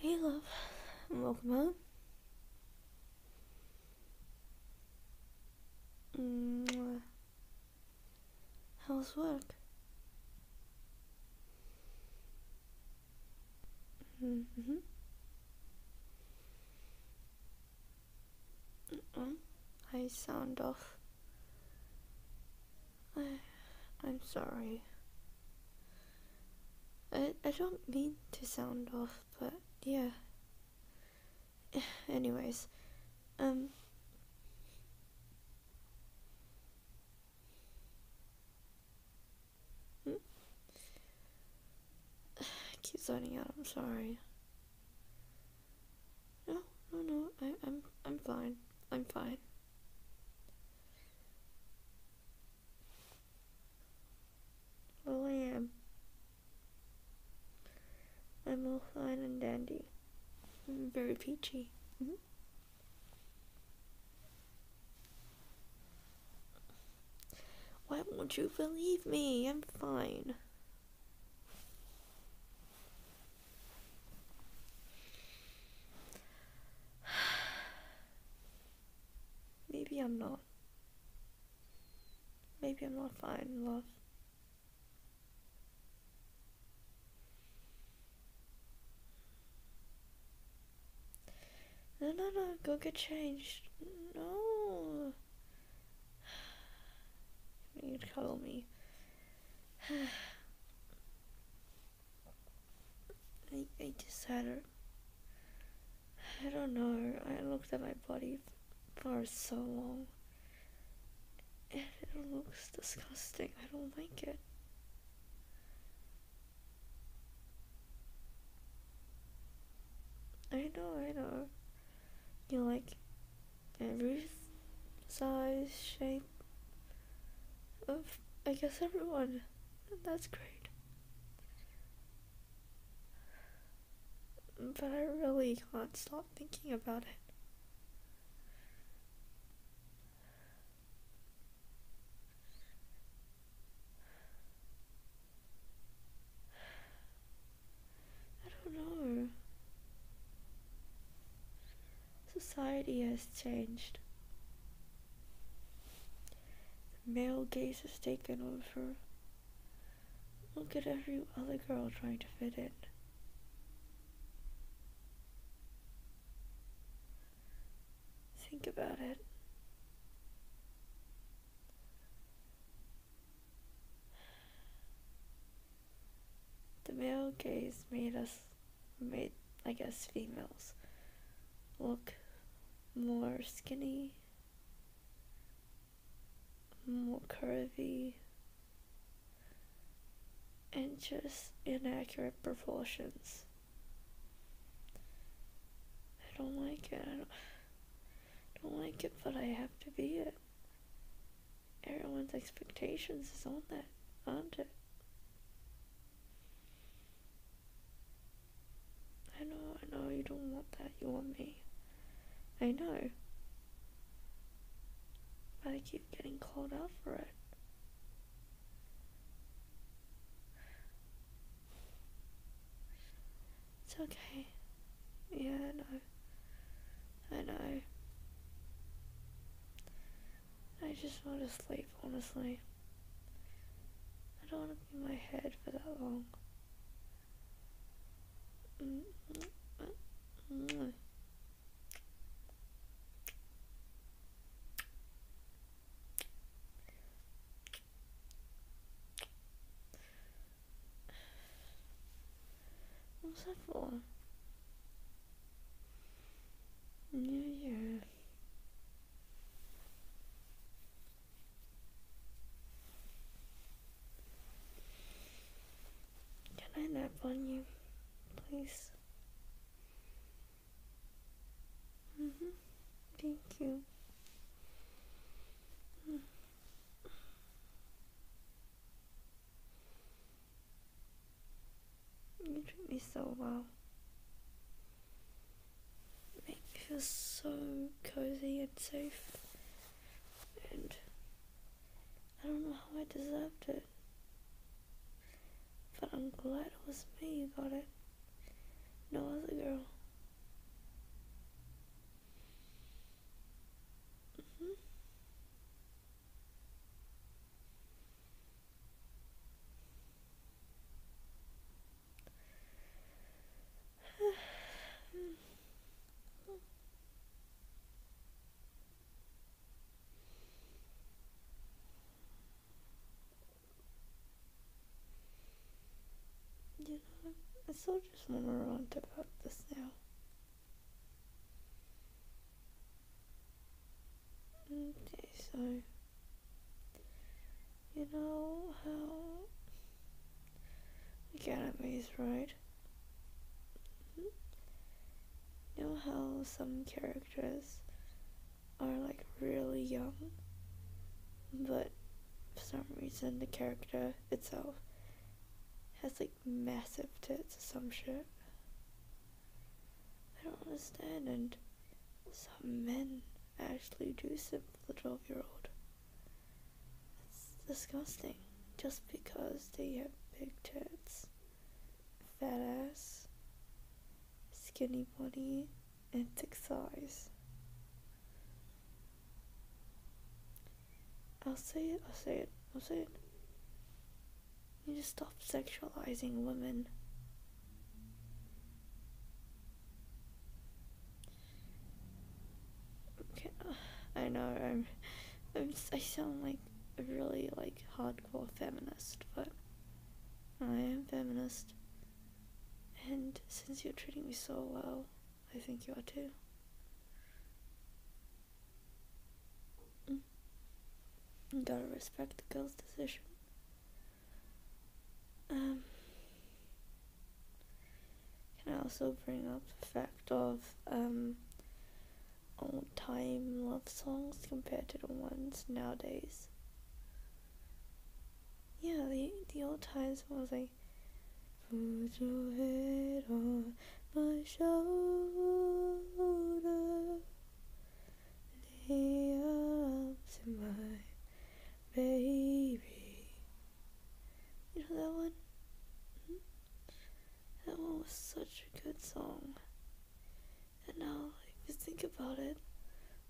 Hey love, welcome home. Mwah. How's work? Mm -hmm. Mm -mm. I sound off. I, I'm sorry. I, I don't mean to sound off, but yeah. Anyways, um, Hmm? keep zoning out, I'm sorry. No, no, no, I, I'm, I'm fine. I'm fine. Well, I am. I'm all fine and dandy. I'm very peachy. Mm-hmm. Why won't you believe me? I'm fine. Maybe I'm not. Maybe I'm not fine, love. No, no, no, go get changed. No. You cuddle me. I, I just had her. I don't know, I looked at my body for so long and it looks disgusting. I don't like it. I know, I know. You like every size, shape of, I guess, everyone. That's great. But I really can't stop thinking about it. I don't know. Society has changed. The male gaze has taken over Look at every other girl trying to fit in. Think about it. The male gaze made us, made, I guess, females look more skinny more curvy and just inaccurate proportions. I don't like it. I don't, like it, but I have to be it. Everyone's expectations is on that, aren't it? I know, I know, you don't want that, you want me. I know. But I keep getting called out for it. It's okay. Yeah, I know. I know. I just want to sleep, honestly. I don't want to be in my head for that long. What's that for? New Year. Can I nap on you, please? Mm -hmm. Thank you. You treat me so well make me feel so cozy and safe. And I don't know how I deserved it. But I'm glad it was me who got it. No other girl. Mm-hmm you know, I still just want to rant about this now. Okay, so. You know how we get enemies, right? You know how some characters are like really young, but for some reason the character itself has like massive tits or some shit. I don't understand, and some men Ashley Joseph, the 12 year old. It's disgusting. Just because they have big tits, fat ass, skinny body, and thick thighs. I'll say it, I'll say it, I'll say it. You just stop sexualizing women. Okay. Uh, I know I'm, i sound like a really like hardcore feminist, but I am feminist. And since you're treating me so well, I think you are too. You mm. gotta respect the girl's decision. Um, can I also bring up the fact of um, old time love songs compared to the ones nowadays? Yeah, the, the old times was like, Put your head on my shoulder. Lay up to my baby. You know that one? Hmm? That one was such a good song. And now, if you think about it,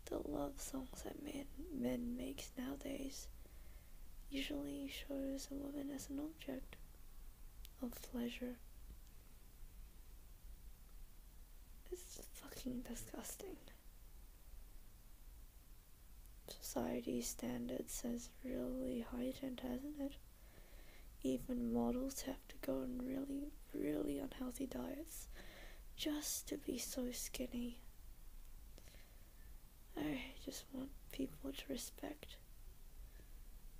the love songs that men, men makes nowadays usually shows a woman as an object of pleasure. It's fucking disgusting. Society standards is really heightened, hasn't it? Even models have to go on really, really unhealthy diets just to be so skinny. I just want people to respect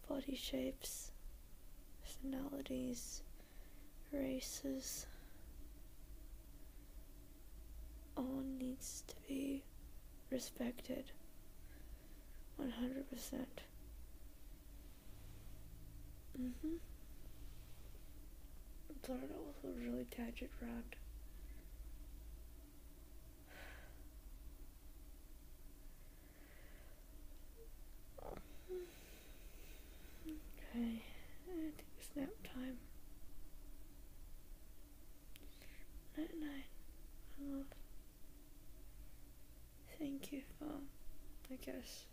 body shapes, personalities, races. All needs to be respected 100%. Mm hmm. Sorry, that was a really tangent round. Okay, take nap time. Night night, love. Thank you for, I guess,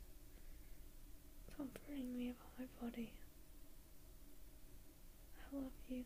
comforting me about my body. I love you.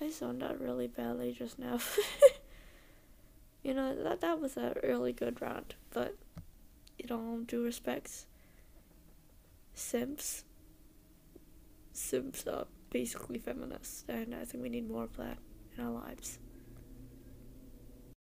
I zoned out really badly just now. you know, that, that was a really good round, but in all due respects, Sims. Sims are basically feminists, and I think we need more of that in our lives.